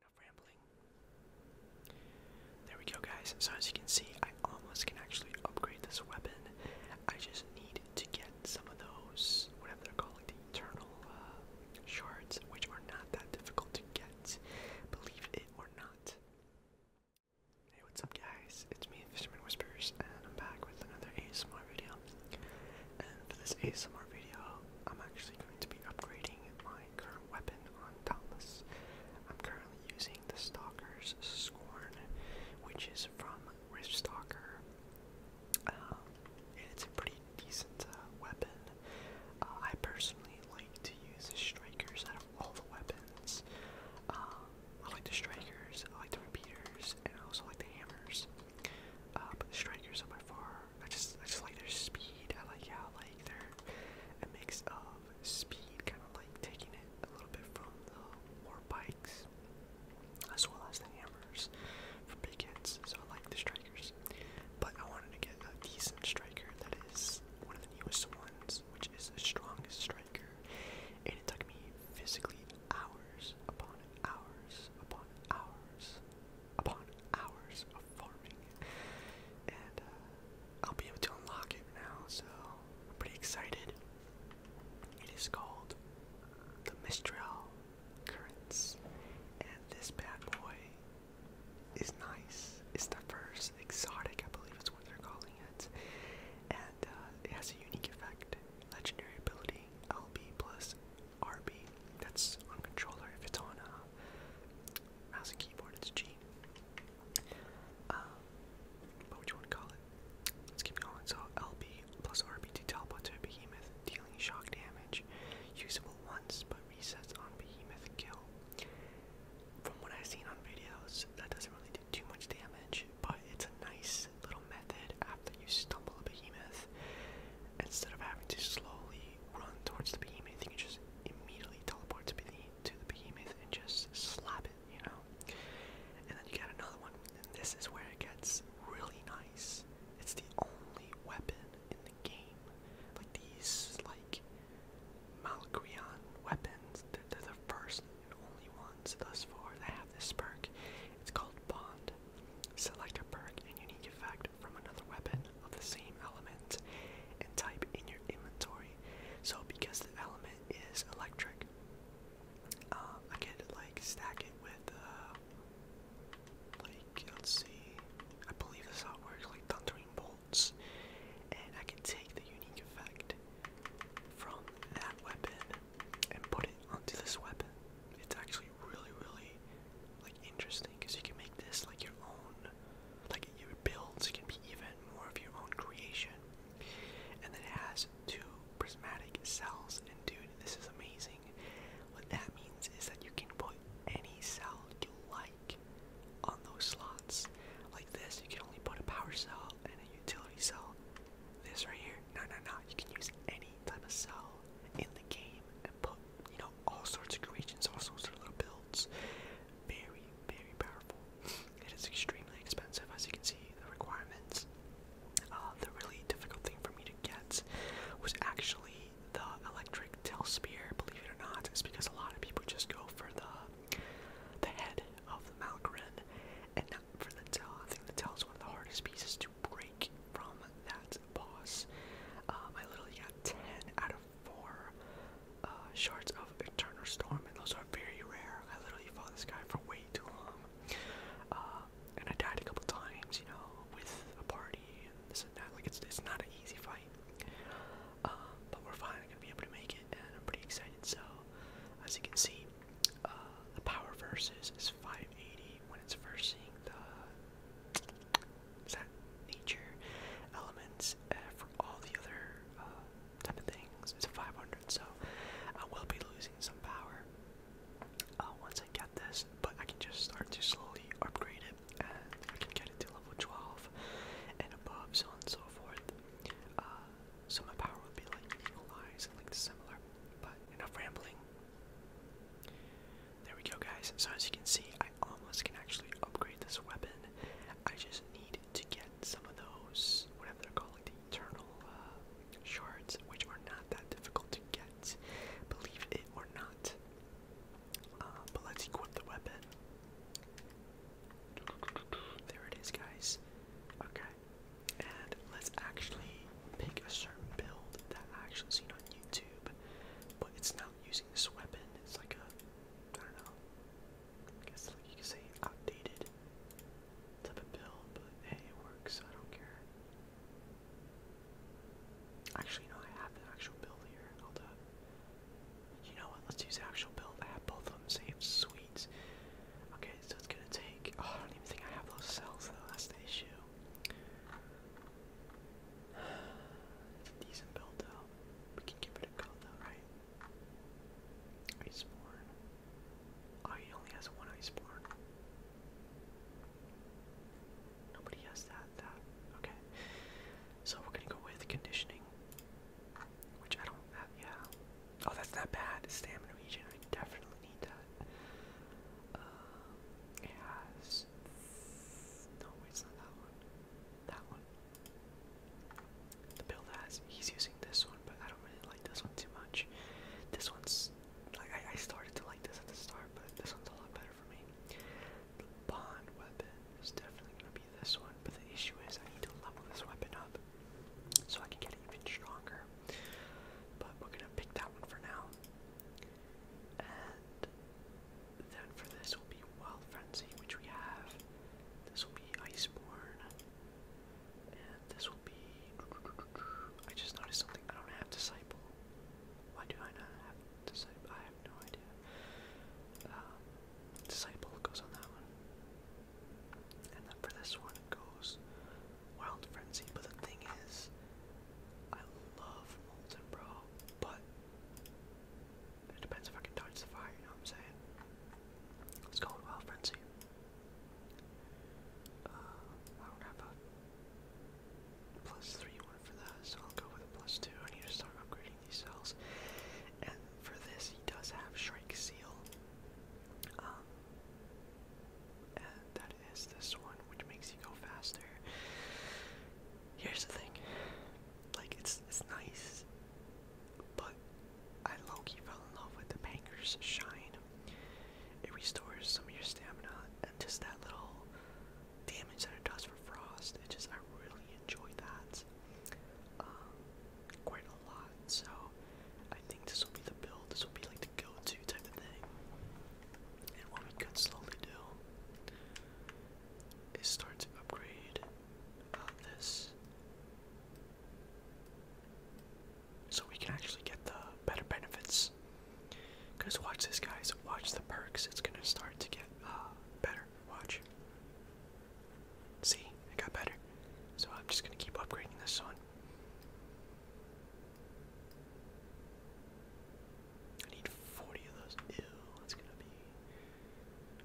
Enough rambling. There we go, guys. So, as you can see, I almost can actually upgrade this weapon. I just need to get some of those, whatever they're called, the eternal uh, shards, which are not that difficult to get believe it or not. Hey, what's up, guys? It's me, Fisherman Whispers, and I'm back with another ASMR video. And for this ASMR video, I'm actually going to be upgrading my current weapon on Dauntless. I'm currently using the Stalker's Scorn, which is from Rift Stalker. Um, and it's a pretty decent uh, weapon. Uh, I personally like to use the strikers out of all the weapons. Um, I like the strikers, I like the repeaters, and I also like the hammers. Uh, but the strikers are by far. I just, I just like their speed. I like how like they're a mix of speed, kind of like taking it a little bit from the war bikes, as well as the hammers for big hits. So I like the strikers. But I wanted to get a decent striker that is one of the newest ones, which is the strongest striker. And it took me physically hours upon hours upon hours upon hours of farming. And uh, I'll be able to unlock it now, so I'm pretty excited. It is called the Mistral Currents. And this bad boy is nice. It's the first exotic, I believe is what they're calling it. And uh, it has a unique effect. Legendary ability LB plus RB. That's on controller. If it's on a uh, mouse and keyboard, it's G. Um, what you want to call it? Let's keep going. So LB plus RB to teleport to a behemoth, dealing shock damage. Usable once, but resets on Behemoth Kill. From what I've seen on videos, that doesn't really do too much damage, but it's a nice little method after you stumble a behemoth. Instead of having to slowly run towards the behemoth, you can just immediately teleport to, to the behemoth and just slap it, you know? And then you get another one, and this is where it gets really nice. It's the only weapon in game. Like these, like Malakrion weapons, they're, the first and only ones thus far that have this perk. It's called Bond. Select a perk and unique effect from another weapon of the same element and type in your inventory. So because the element is electric, um, I could like stack it with uh, let's see, I believe this how it works, like thundering bolts, and I can take the unique effect from that weapon and put it onto this weapon. It's actually really, really, like, interesting, because you can make this, like, your own, like, your builds can be even more of your own creation. And then it has two prismatic cells, and dude, this is amazing. What that means is that you can put any cell you like like on those slots. Like this, you can only put a power cell and a utility cell. This right here, no, no, no. You can use any type of cell in the game and put, you know, all sorts of creations, all sorts of little builds. Very, very powerful. It is extremely expensive, as you can see. The requirements. Uh, the really difficult thing for me to get was actually the electric tail spear, believe it or not, is because a lot of people just go for the the head of the Malgrin and not for the tail. I think the tail is one of the hardest pieces to break from that boss. Um, I literally got 10 out of 4 uh, shards of Eternal Storm, and those are very rare. I literally fought this guy for way too long. Uh, and I died a couple times, you know, with a party and this and that. Like, it's, it's not an easy fight. Um, but we're finally gonna be able to make it, and I'm pretty excited. So, as you can see, uh, the power versus is 580 when it's versing the nature elements uh, for all the other uh, type of things. It's 500, so I will be losing some power uh, once I get this, but I can just start to slowly upgrade and we can get it to level 12 and above, so on so forth. Uh, so my power would be like equalize and like similar, but enough rambling. There we go, guys. So as you can see, I almost can actually upgrade this weapon. I just need to get some of those, whatever they're called, the eternal uh, shards, which are not that difficult to get, believe it or not. Uh, but let's equip the weapon. There it is, guys. Okay. And let's actually pick a certain build that I actually seen on YouTube, but it's not using this weapon. It's like a, I don't know, I guess like you could say outdated type of build, but hey, it works. I don't care. Actually, no, I have the actual build here. Hold up. You know what? Let's use actual build. I have both of them saved. Sweet. Okay, so it's gonna take. Oh, I don't even think I have those cells though. That's the issue. It's a decent build though. We can give it a go though, right? Iceborne. Oh, he only has one Iceborne. Nobody has that, that. Okay. So we're gonna go with conditioning. Which I don't have yeah. Oh that's not bad. Stamina region. I definitely need that. Um no it's not that one. That one. The build has he's using this one, but I don't really like this one too much. This one's like I, I started to like this at the start, but this one's a lot better bond weapon is definitely going to be this one, but the issue is I need to level this weapon up so I can get even stronger. But we're going to pick that one for now. And then for this will be Wild which we have. This will be Iceborn, And this will be. I just noticed something. I don't have Disciple. Why do I not have Disciple? have no idea. Um, disciple goes on that one. And then for this one, it goes Wild Frenzy. But the thing is, I love Molten, bro, but it depends if I can dodge the fire, you know what I'm saying? Let's go on Wild Frenzy. Uh, I don't have a plus 3 one for that, so I'll go with a plus 2. I need to start upgrading these cells. And for this, he does have Shrike Seal. Um, that is this one, which makes you go faster. Here's the thing, like it's it's nice, but I low fell in love with the Banker's Shine. It restores some of your stamina, and just that little damage that it does for frost. It just I really enjoy that um, quite a lot. So I think this will be the build. This will be like the go-to type of thing. And what we could slowly do is start to upgrade uh, this. So we can actually get the better benefits. Because watch this, guys. Watch the perks. It's going to start to get uh, better. Watch. See, it got better. So I'm just gonna keep upgrading this one. I need 40 of those. Ew, it's gonna be.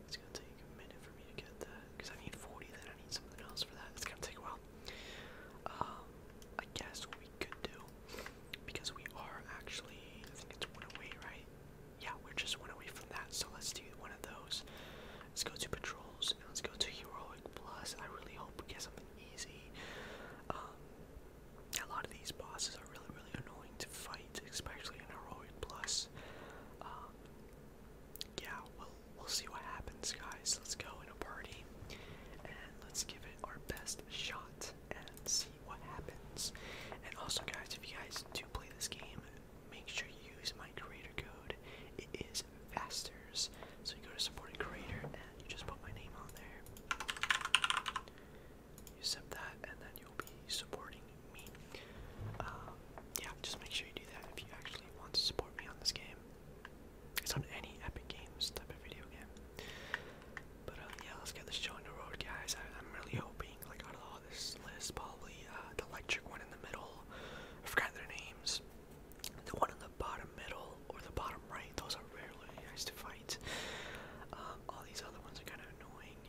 It's gonna take a minute for me to get that. Because I need 40, then I need something else for that. It's gonna take a while. Um, I guess we could do, because we are actually. I think it's one away, right? yeah, we're just one away from that. So let's do one of those. Let's go to patrols and let's go to heroic plus. I really hope we get something easy. Um, a lot of these bosses are really, really annoying to fight, especially in heroic plus. Um, yeah, we'll we'll see what happens, guys. Let's go in a party and let's give it our best shot and see what happens. And also, guys, if you guys do play this game, make sure you use my creator code. It is faster. So you go to supporting creator and you just put my name on there. You accept that, and then you'll be supporting me. Um, yeah, just make sure you do that if you actually want to support me on this game. It's on any Epic Games type of video game. But um, yeah, let's get this show on the road, guys. I, am really hoping, like out of all this list, probably uh, the electric one in the middle. I forgot their names. The one in the bottom middle or the bottom right. Those are rarely nice to fight. Um, all these other ones are kind of annoying.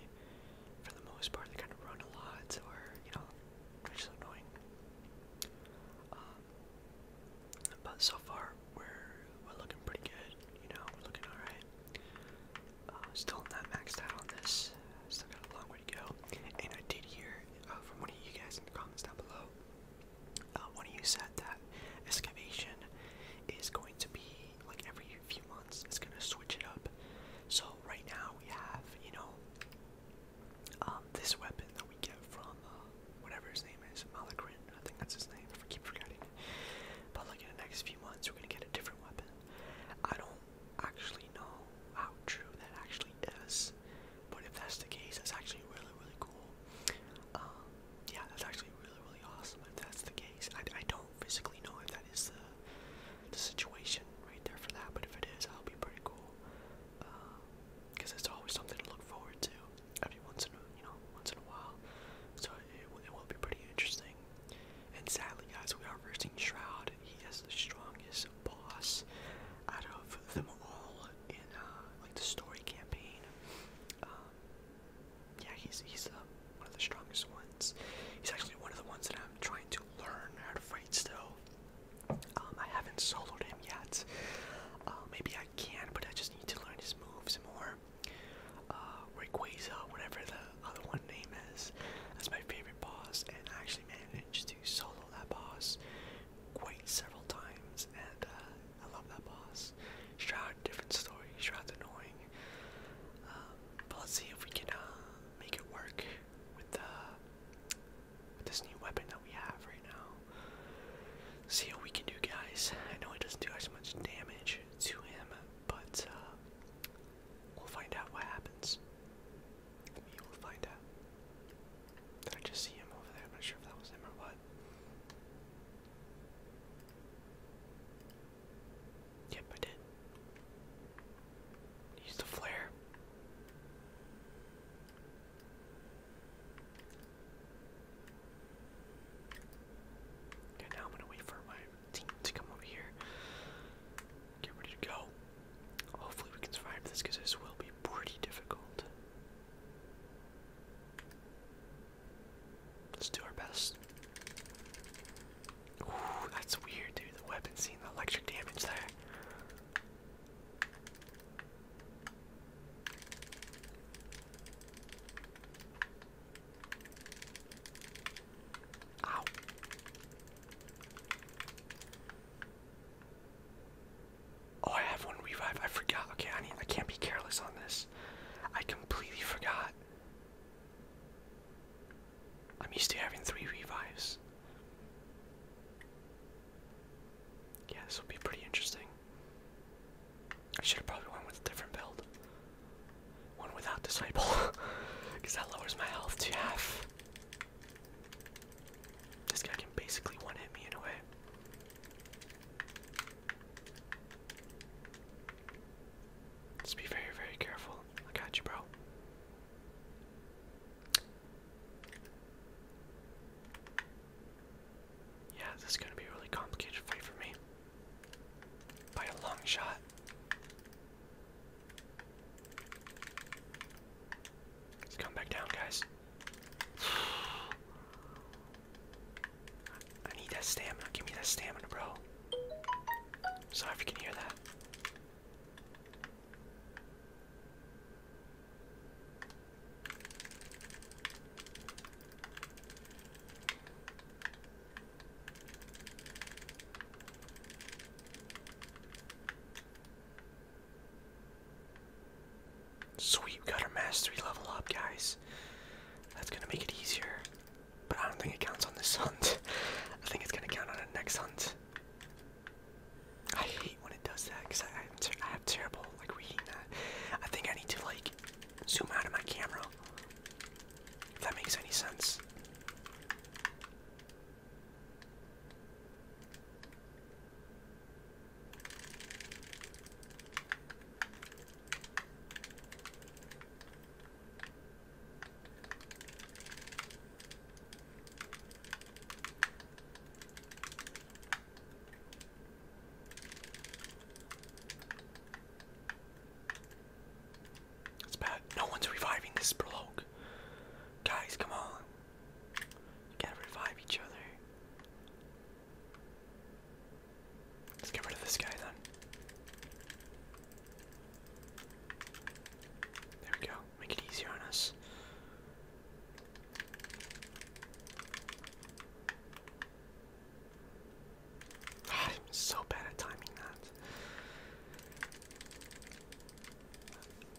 For the most part, they kind of run a lot, or you know, which is annoying. Um, but so far, we're we're looking pretty good. You know, we're looking all right. Uh, still not maxed out on this. Still got a long way to go. And I did hear uh, from one of you guys in the comments down below. Uh, one of you said that excavation is going to be like every few months. It's going to switch it up. So right now we have, you know, um, this weapon that we get from whatever his name is, Malakrin. I think that's his name. I keep forgetting. But like in the next few months, we're gonna get a different weapon. I don't actually know how true that actually is, but if that's the case, that's actually really really cool. Um, yeah, that's actually really really awesome if that's the case. I, I don't physically know if that is the the situation right there for that, but if it is, that'll be pretty cool. Because um, it's always something to look forward to every once in a you know once in a while it, will be pretty interesting. And sadly, guys, we are versing Shroud. He is the strongest boss out of them all in uh, like the story campaign. Um, yeah, he's he's uh, one of the strongest ones. He's actually one of the ones that I'm trying to learn how to fight still. Um, I haven't soloed him yet. Uh, maybe I can, but I just need to learn his moves more uh, whatever the other one name is. That's my favorite boss, and I actually managed to solo that boss quite several times, and uh, I love that boss. Shroud, different story. Shroud's annoying. Um, but let's see if we can uh, make it work with the with this new weapon that we have right now. See what we can do, guys. I know it doesn't do as much damage to him, but uh, we'll find out what happens. We will find out. Did I just see him over there? I'm not sure if that was him or what. Yep, I did. Use the flare. Okay, now I'm gonna wait for my to come over here. Get ready to go. Hopefully we can survive this because this will be pretty difficult. Let's do our best. that's weird, dude. The weapon's seeing electric damage there. Ow. Oh, I have one revive. I forgot. Okay, I need I can't be careless on this. I completely forgot. I'm used to having three revives. Yeah, this will be pretty interesting. I should have probably went with a different build one without disciple because that lowers my health to half. This guy can basically one hit me in a way. let be very, very careful. I got you, bro. Yeah, this is gonna be a really complicated fight for me. By a long shot. Let's come back down, guys. I need that stamina. Give me that stamina, bro. Sorry if you can hear that. Sweet, we got our mastery level up, guys. That's gonna make it easier. But I don't think it counts on this hunt. I think it's gonna count on the next hunt. I hate when it does that because I, I have terrible like reading that. I think I need to like zoom out of my camera if that makes any sense. It's bad. No one's reviving this bloke. Guys, come on. You gotta revive each other. Let's get rid of this guy then. There we go. Make it easier on us. I'm so bad at timing that.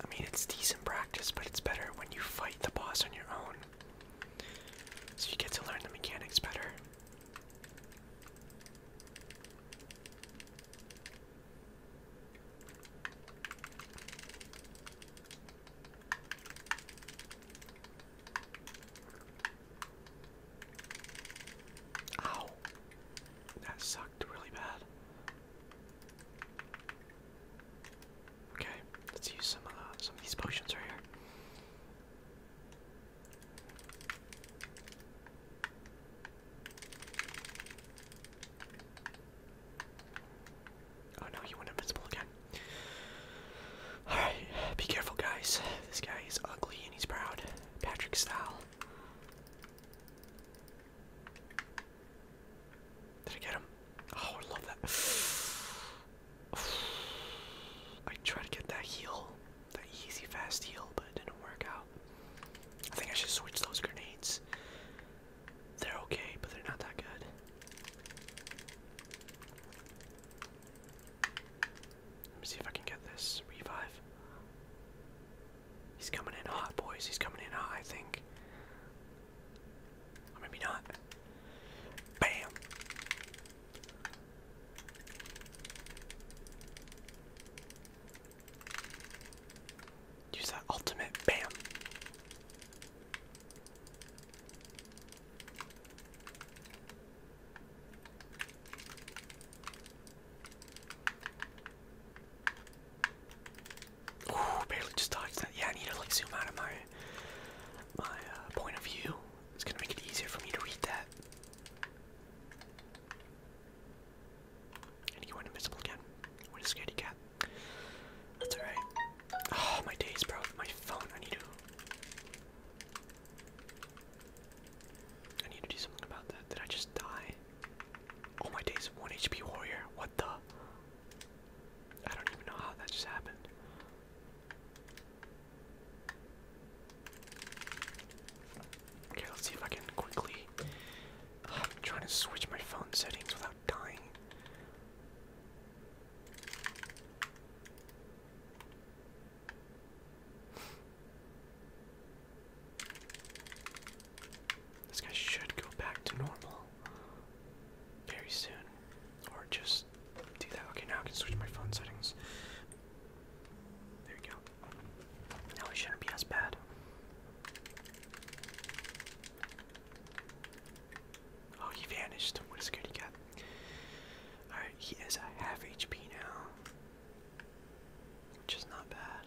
I mean, it's decent practice, but it's better when you fight the boss on your own. So you get to learn the mechanics better. Ow. That sucked really bad. Okay, let's use some of uh, some of these potions right here. Oh no, you went invincible again. Alright, be careful guys. This guy is ugly and he's proud. Patrick style. Did I get him? Oh, I love that. I tried to get that heal, that easy fast heal, but it didn't work out. I think I should switch those grenades. They're okay, but they're not that good. Let me see if I can get this revive. He's coming in hot, boys. He's coming in hot, I think. Or maybe not. Bam! Use that ultimate. Bam! Ooh, barely just dodged that. Yeah, I need to like zoom out of my my uh, point of view. It's gonna make it easier for me to read that. And invisible again. What a scaredy cat. That's alright. Oh my days, bro. My phone. I need to. I need to do something about that. Did I just die? Oh my days, one HP warrior. What the? I don't even know how that just happened. Okay, let's see if I can quickly. I'm um, trying to switch my phone settings without dying. This guy should go back to normal very soon. Or just do that. Okay, now I can switch my phone settings. There you go. Now it shouldn't be as bad. Oh, he vanished. What a scaredy cat. Alright, he is half HP now. Which is not bad.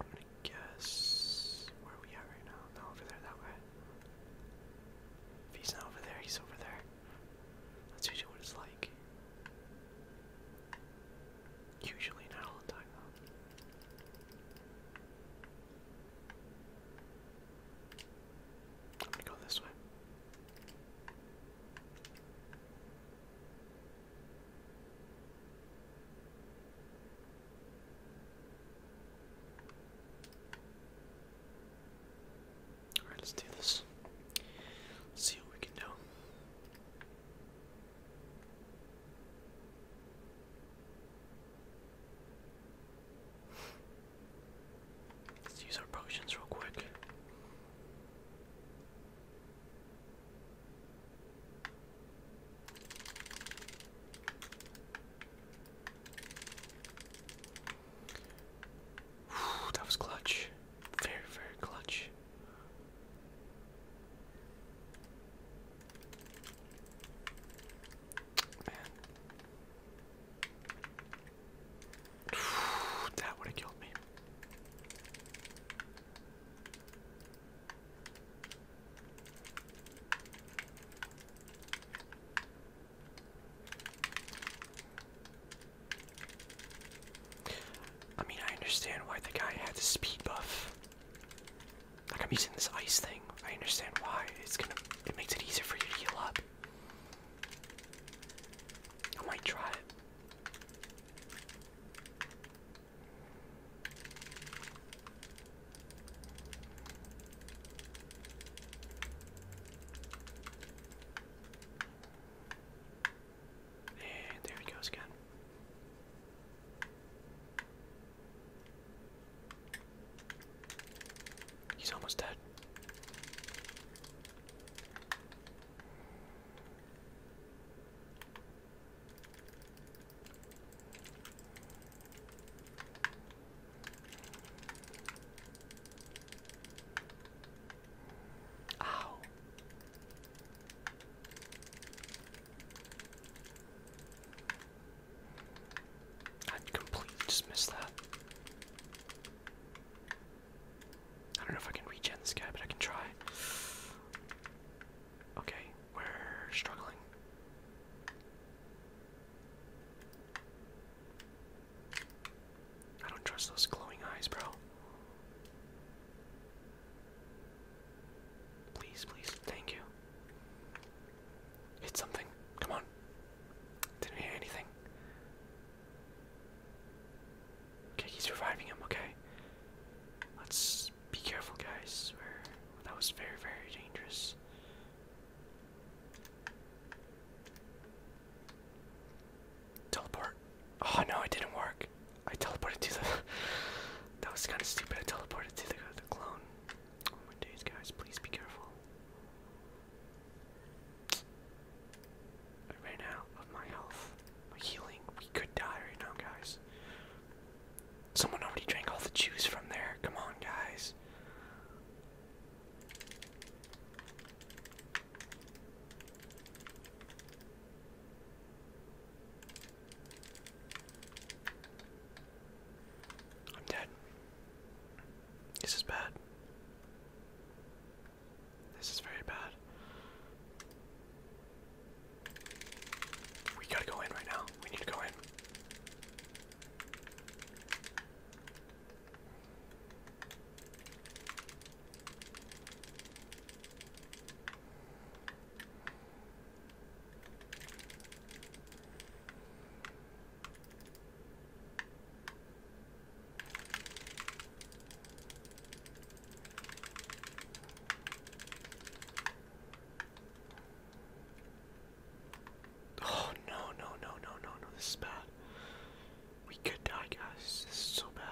I'm gonna guess where we at right now? No, over there that way. If he's not over there, he's over there. That's usually what it's like. Usually not all the time though. I'm go this way. Alright, let's do this. see what we can do. Let's use our potions real quick. that was clutch. Very, very clutch. Man that would have killed me. I mean, I understand why the guy had the speed buff. Like I'm using this ice thing. I understand why. It's gonna. It makes it easier for you to heal up. I might try it. And there it goes again. He's almost dead. Ow. I completely missed that. I don't know if I can regen this guy, but I can try. Okay, we're struggling. I don't trust those glowing eyes, bro. Please, please, thank you. Hit something. Come on. Didn't hit anything. Okay, he's reviving him, okay. Let's be careful guys. that was very, very dangerous. Teleport. Oh no, it didn't work. I teleported to the That was kinda stupid. I teleported to the the clone. One oh more day, guys, please be careful. I ran of my health, my healing. We could die right now, guys. Someone already drank all the juice from there. Come on, guys. I'm dead. This is bad. This is very bad. We gotta go in right now. We need to go in. Oh no no no no no no this is bad. We could die guys. This is so bad.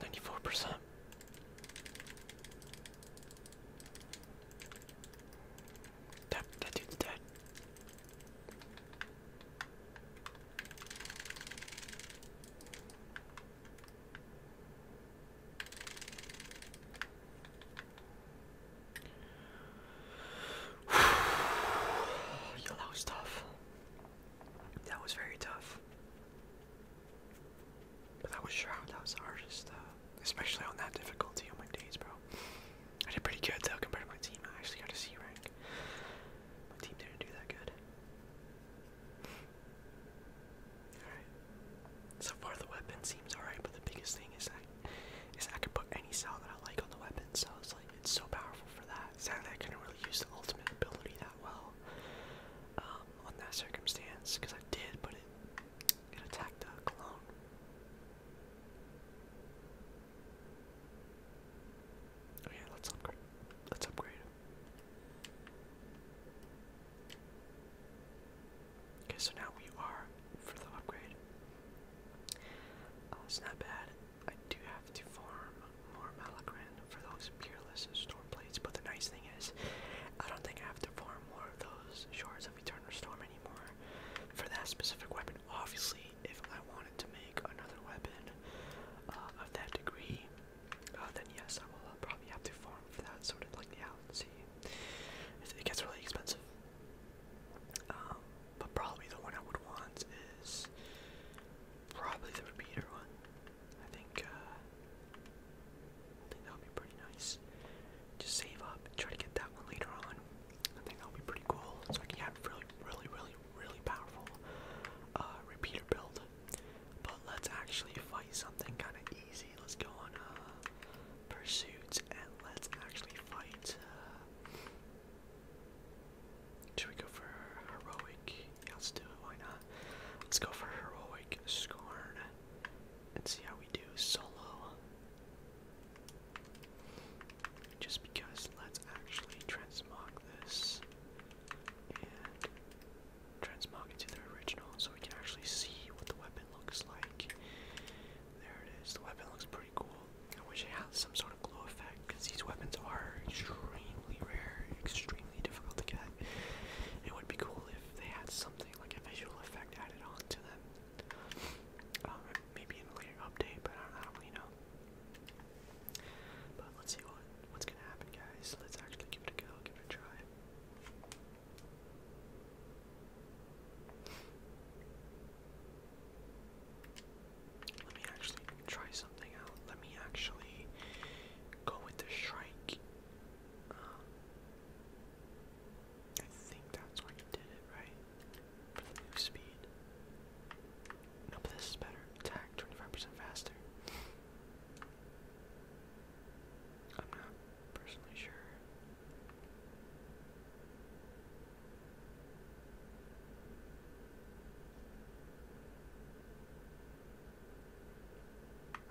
Ninety-four percent. That that dude's dead. Yo, that was that was very tough. But that was Shroud, that was the hardest, uh, especially on that difficulty on my days, bro. I did pretty good though compared to my team. I actually got a C rank. My team didn't do that good. Alright. So far the weapon seems alright, but the biggest thing is that is that I can put any style that I like on the weapon, so it's like it's so powerful for that. Sadly, I couldn't really use the ultimate ability that well um, on that circumstance because I did, but it it attacked a clone. Okay, oh let's upgrade. Let's upgrade. Okay, so now we are for the upgrade. Oh, it's not bad. I do have to form more Malagran for those Peerless Storm plates, but the nice thing is, I don't think I have to form more of those Shards of Eternal Storm anymore for that specific weapon. Obviously, if I wanted to make another weapon uh, of that degree, uh, then yes, I will uh, probably have to form for that sort of like the yeah, see. It gets really expensive. Um, but probably the one I would want is Probably the repeater one. I think, uh, I think that would be pretty nice. Just save up and try to get that one later on. I think that will be pretty cool. So I can have really, really, really, really powerful uh, repeater build. But let's actually fight something kind of easy. Let's go on a uh, pursuit and let's actually fight. Uh, should we go for heroic? Yeah, let's do it. Why not? Let's go for heroic scorn and see how we do solo. Just because let's actually transmog this and transmog it to the original so we can actually see what the weapon looks like. There it is. The weapon looks pretty cool. I wish it had some sort of glow effect because these weapons are extremely rare, extremely difficult to get. It would be cool if they had something like a visual effect added on to them. Um, maybe in a later update, but I don't, I do know. But let's see what what's gonna happen, guys. Let's actually give it a go, give it a try. Let me actually try something out. Let me actually go with the Shrike. Um, I think that's why you did it, right? For the move speed. No, but this is better. Attack 25% faster. I'm not personally sure.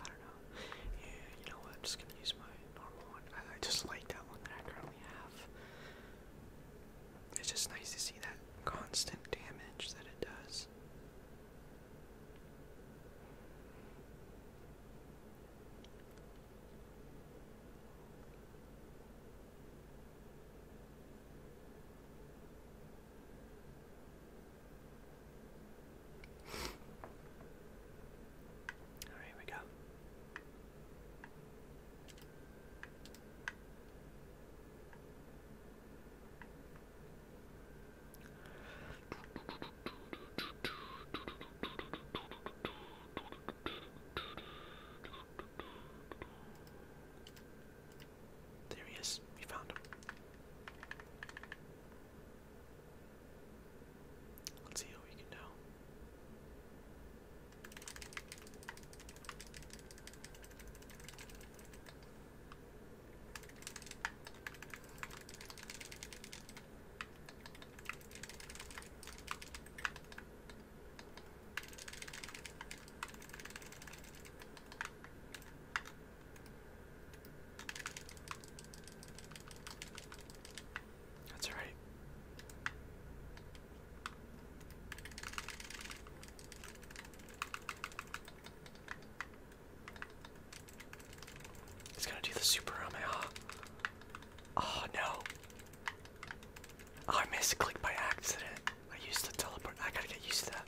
I don't know. Yeah, you know what? I'm just gonna use my normal one. I, just like that one that I currently have. It's just nice to see that constant damage that it does. All right, here we go. There he is. We found him. Let's see what we can do. That's all right. He's gonna do the super on huh? Oh no. Oh, I misclicked by accident. I used the teleport. I gotta get used to that.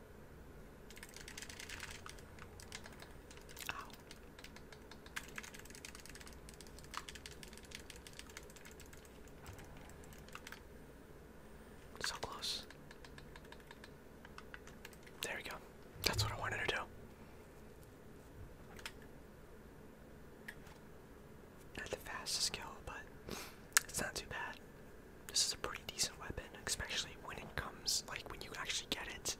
So close. There we go. That's what I wanted to do. Not the fastest kill, but it's not too bad. This is a pretty decent weapon, especially when it comes, like when you actually get it,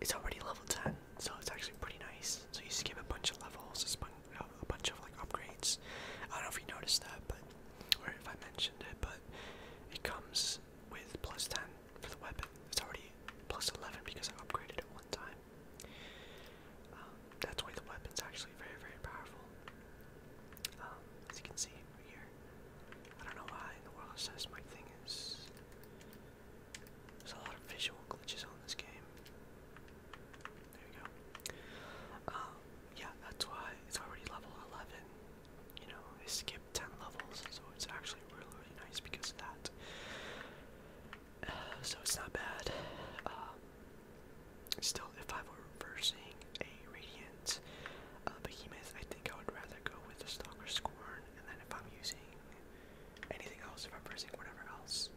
it's already level 10, so it's actually pretty nice. So you skip a bunch of levels, a bunch of like upgrades. I don't know if you noticed that, but, or if I mentioned it, but it comes with plus 10 for the weapon. It's already plus 11 because I upgraded it one time. Um, that's why the weapon's actually very, very powerful. Um, as you can see, here. I don't know why in the world says my thing is. There's a lot of visual glitches on this game. There we go. Um, yeah, that's why it's already level 11. You know, they skipped 10 levels, so it's actually really, really nice because of that. so it's not bad. Um, Still, if I were reversing a Radiant uh, Behemoth, I think I would rather go with the Stalker Scorn, and then if I'm using anything else, if I'm reversing whatever else,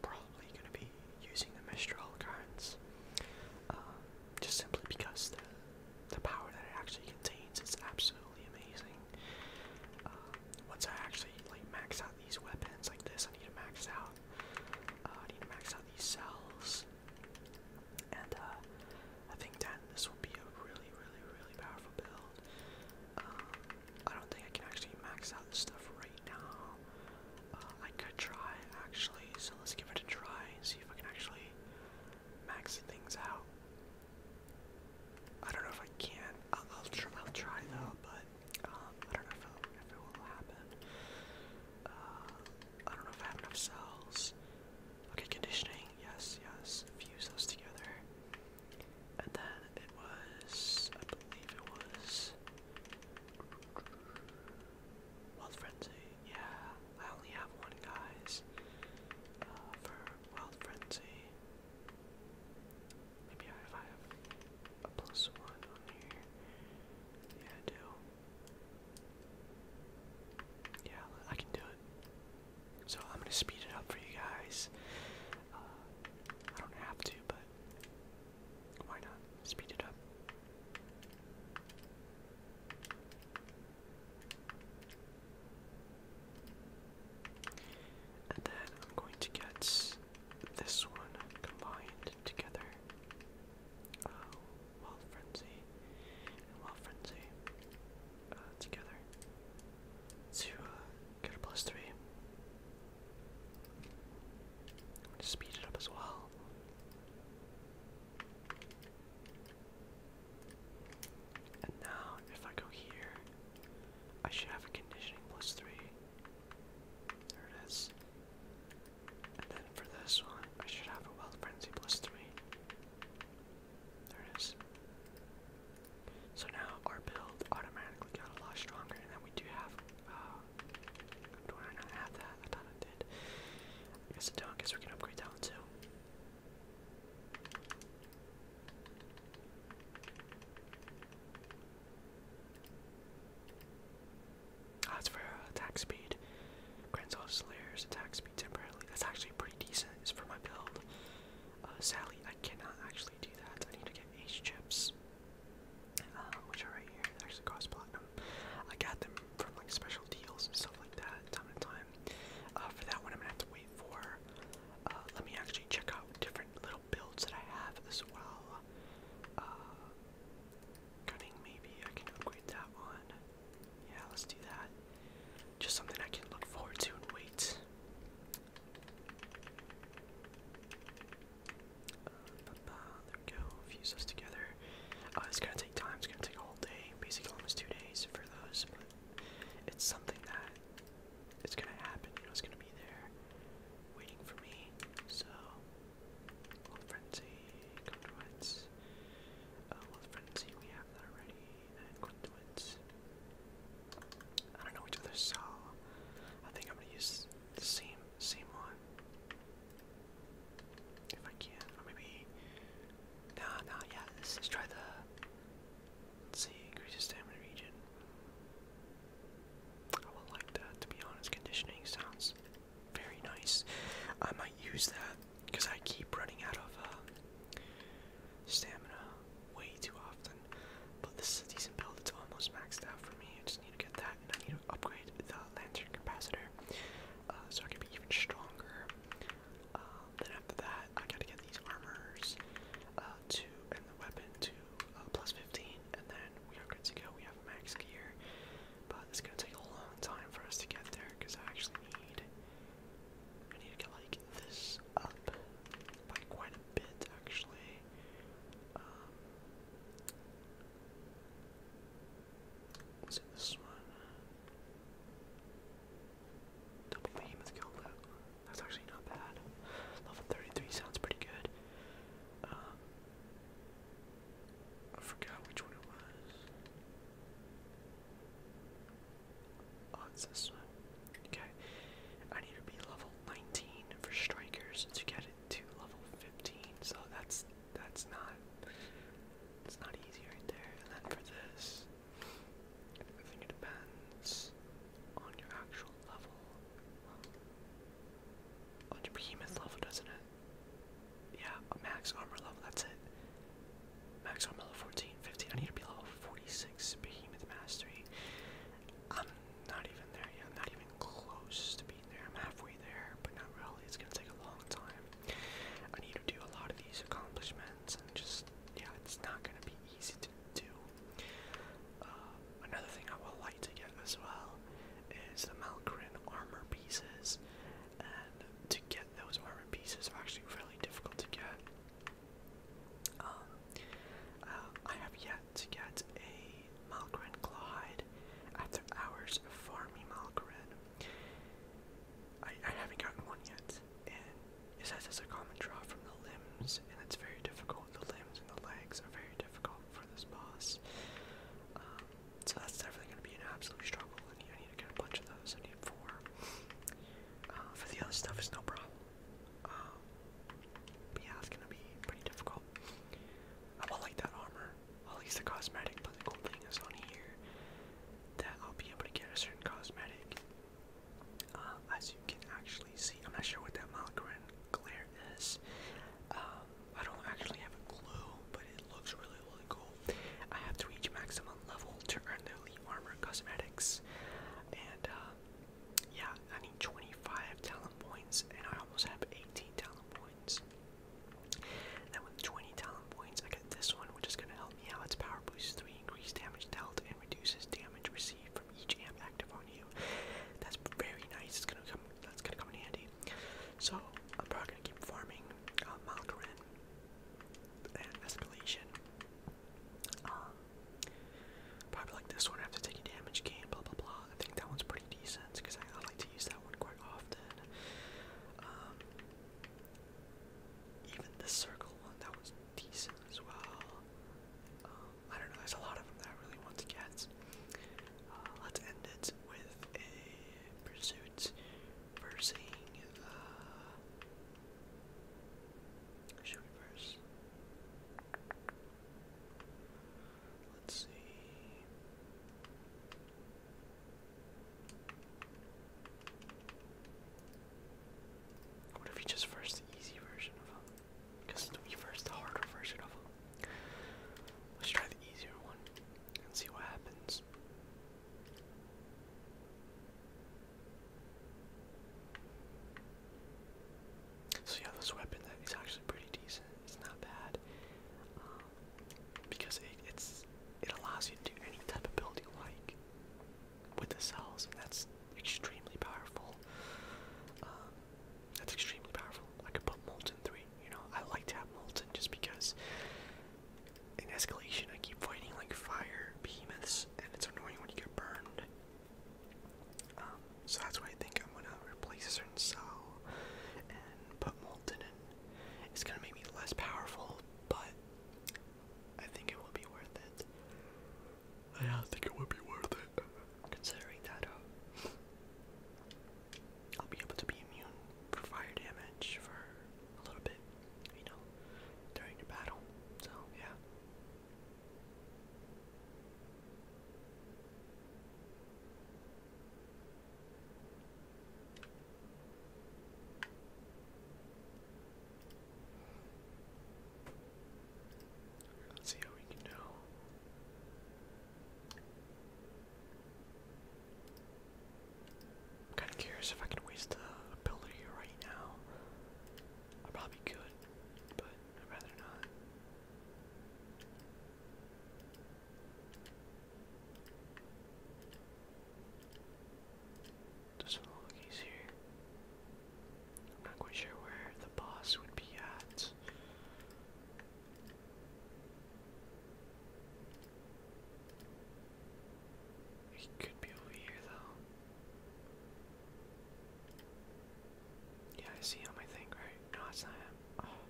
probably gonna be using the Mistral cards, um, just simply because the power that it actually contains is absolutely amazing. Um, once I actually like max out these weapons like this, I need to max out. Uh, I need to max out these cells. Titans. And uh, I think that this will be a really, really, really powerful build. Um, I don't think I can actually max out the stuff right now. Uh, I could try actually, so let's give it a try and see if I can actually max things out. I don't know if I can. I'll, try though, but um, I don't know if, it will happen. Uh, I don't know if I have enough cells. Okay, conditioning. Yes, yes. Fuse those together. And then it was, I believe it was. Wild Frenzy. Yeah, I only have one, guys. Uh, for Wild Frenzy. Maybe if I have a plus one on here. Yeah, I do. Yeah, I can do it. So I'm gonna speed it up for you guys. Uh, I don't have to, but why not? Speed it up. And then I'm going to get this one combined together. Oh, Wild Frenzy, Wild Frenzy uh, together to uh, get a plus speed it up as well. And now, if I go here, I should have a conditioning plus three. There it is. And then for this one, I should have a Wild Frenzy plus 3. There it is. So now our build automatically got a lot stronger, and then we do have. Uh, do I not have that? I thought I did. I guess I don't, guess we can upgrade that one too. That's ah, for uh, attack speed, Grand Soldier Slayer's attack speed temporarily, that's actually pretty decent, for my build. Uh, sadly, I cannot actually do that, I need to get H chips, um, which are right here, actually cost platinum. I got them from like special deals and stuff like that, time and time. Uh, for that one, I'm gonna have to wait for, uh, let me actually check out different little builds that I have as well. Uh, maybe. I can upgrade that one. Yeah, let's do that. Just something I can look forward to and wait. Uh, there we go. Fuse us together. Uh, it's gonna take time. It's gonna take a whole day, basically almost two days for those. But it's something that it's gonna happen. You know, it's gonna be there, waiting for me. So uh, well, Frenzy, Conduits. we have already. And uh, Conduits. I don't know which other saw. I think I'm gonna use the same, same one. If I can, or maybe. Nah, nah, yeah, let's, try the. Let's see, increases stamina region. I would like to be honest. Conditioning sounds very nice. I might use that because I keep running out of uh, stamina way too often. But this is a decent build. It's almost maxed out for me. I just need to get that, and I need to upgrade the lantern capacitor uh, so I can be even stronger. Um, then after that, I gotta get these armors uh, to and the weapon to 15, and then we are good to go. We have max gear. But it's gonna take a long time for us to get there because I actually need I need to get like this up by quite a bit actually. Um this one? Double behemoth killed that. That's actually not bad. Level 33 sounds pretty good. Um, I forgot which one it was. Oh, it's this one. Okay. I need to be level 19 for strikers to get it to level 15. So that's that's not it's not easy right there. And then for this, I depends on your actual level. Like a behemoth level, doesn't it? Yeah, max armor level, that's it. Max armor level 14, 15. I need to be level 46 behemoth mastery. I'm not even there yet. not even close to being there. I'm halfway there, but not really. It's gonna take a long time. I need to do a lot of these accomplishments and just yeah, it's not gonna be easy to do. Uh, another thing I would like to get as well is the Malgrin armor piece pieces, and to get those armor pieces are actually really difficult to get. Um, uh, I have yet to get a Malgren Clawhide after hours of farming Malgren. I, haven't gotten one yet, and it says it's a common draw from the limbs, and it's very difficult. The limbs and the legs are very difficult for this boss. Um, so that's definitely going to be an absolute struggle. I need, I need to get a bunch of those. I need four. Uh, for the other stuff, it's no problem. Um, but yeah, it's going to be pretty difficult. I will like that armor. at least the cosmetic, but thing is on here that I'll be able to get a certain cosmetic. Uh, as you can actually see, I'm not sure what that Malgrin glare is. Um, I don't actually have a clue, but it looks really, really cool. I have to reach maximum level to earn the Elite Armor Cosmetics. And, uh, yeah, I need 25 talent points, and I almost have 18 talent points. And then with 20 talent points, I get this one, which is going to help me out. It's Power Boost 3, increased damage dealt, and reduces damage received from each amp active on you. That's very nice. It's going to come that's gonna come in handy. So I'm probably gonna keep farming uh, and Escalation. Um, probably like this one after taking damage gain, blah blah blah. I think that one's pretty decent because I, like to use that one quite often. Um, even this circle one, that was decent as well. Um, I don't know, there's a lot of them that I really want to get. Uh, let's end it with a pursuits versing uh, should we verse? Let's see. What if you just first the easy version of them? Because we first the harder version of Let's try the easier one and see what happens. So yeah, this weapon that is actually pretty decent. It's not bad um, because it, it allows you to do any type of building like with the cells, and that's extremely powerful. Um, that's extremely powerful. I could put molten three you know, I like to have Molten just because in Escalation I keep fighting like fire behemoths, and it's annoying when you get burned. Um, so that's why I think I'm gonna replace a certain cell and put Molten in. It's gonna make me less powerful, but I think it will be worth it. I think it would be worth it, considering that. Uh, I'll be able to be immune for fire damage for a little bit, you know, during the battle. So, yeah. Let's see how we can do. I'm kind of curious if I can waste the ability right now. I probably could, but I'd rather not. This one look easier. I'm not quite sure where the boss would be at. He could be over here, though. Yeah, I see him, I think, right? No, it's not him. Oh.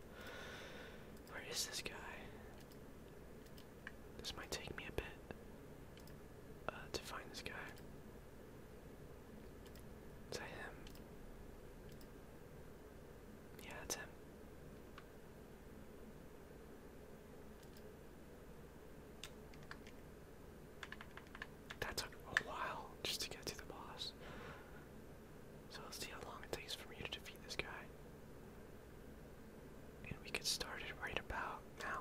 Where is this guy? This might take me a bit uh, to find this guy. Is that him? Yeah, that's him. That took a while just to get to the boss. So let's see how long it takes for me to defeat this guy. And we get started right about now.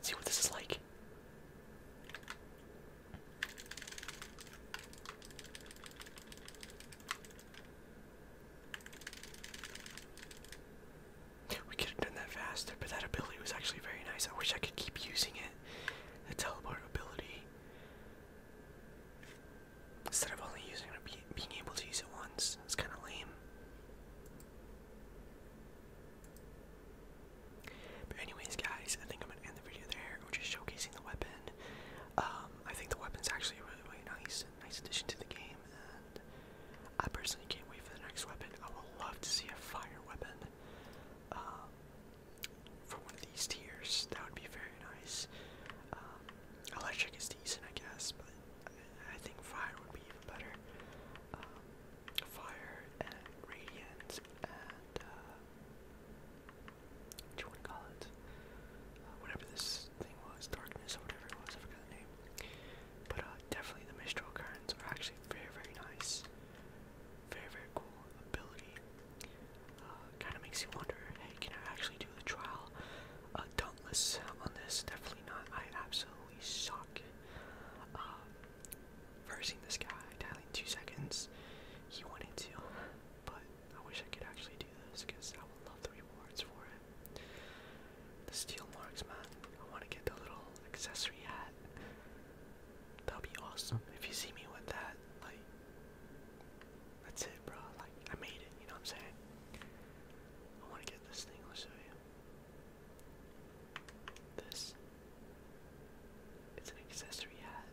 see what this is like. We could have done that faster, but that ability was actually very nice. I wish I could keep using it. The teleport ability. Instead of only using it, being able to use it once. It's kind of lame. But anyways, guys, I think I'm gonna end the video there. We're just showcasing the weapon. Um, I think the weapon's actually a really, really nice, nice addition to the game. I personally can't wait for the next weapon. I would love to see a fire weapon um, for one of these tiers. That would be very nice. Um, electric is decent, I guess, but I, think fire would be even better. Um, fire and radiant and uh, what do you want to call it? Uh, whatever this thing was, darkness or whatever it was, I forgot the name. But uh, definitely the Mistral Currents are actually very, very nice. Very, very cool ability. Uh, kind of makes you wonder, hey, can I actually do the trial? Uh, dauntless on this, definitely not. I absolutely suck. Um, versing this guy, dialing two seconds. He wanted to, but I wish I could actually do this because I would love the rewards for it. The steel marks, man. I want to get the little accessory hat. That'll be awesome. If you see me with that, like, that's it, bro. Like, I made it. You know what I'm saying? I want to get this thing. I'll show you. This. It's an accessory hat.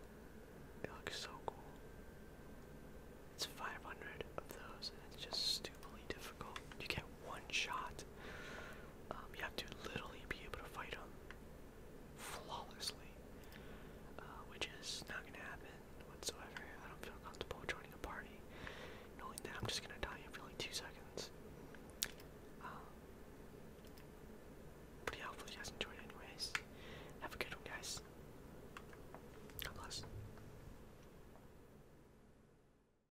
It looks so cool. It's 500 of those, and it's just stupidly difficult. You get one shot um, you have to literally be able to fight them flawlessly, uh, which is not gonna happen whatsoever. I don't feel comfortable joining a party knowing that I'm just gonna die for like two seconds. Um, but you guys enjoyed it anyways. Have a good one, guys. God bless.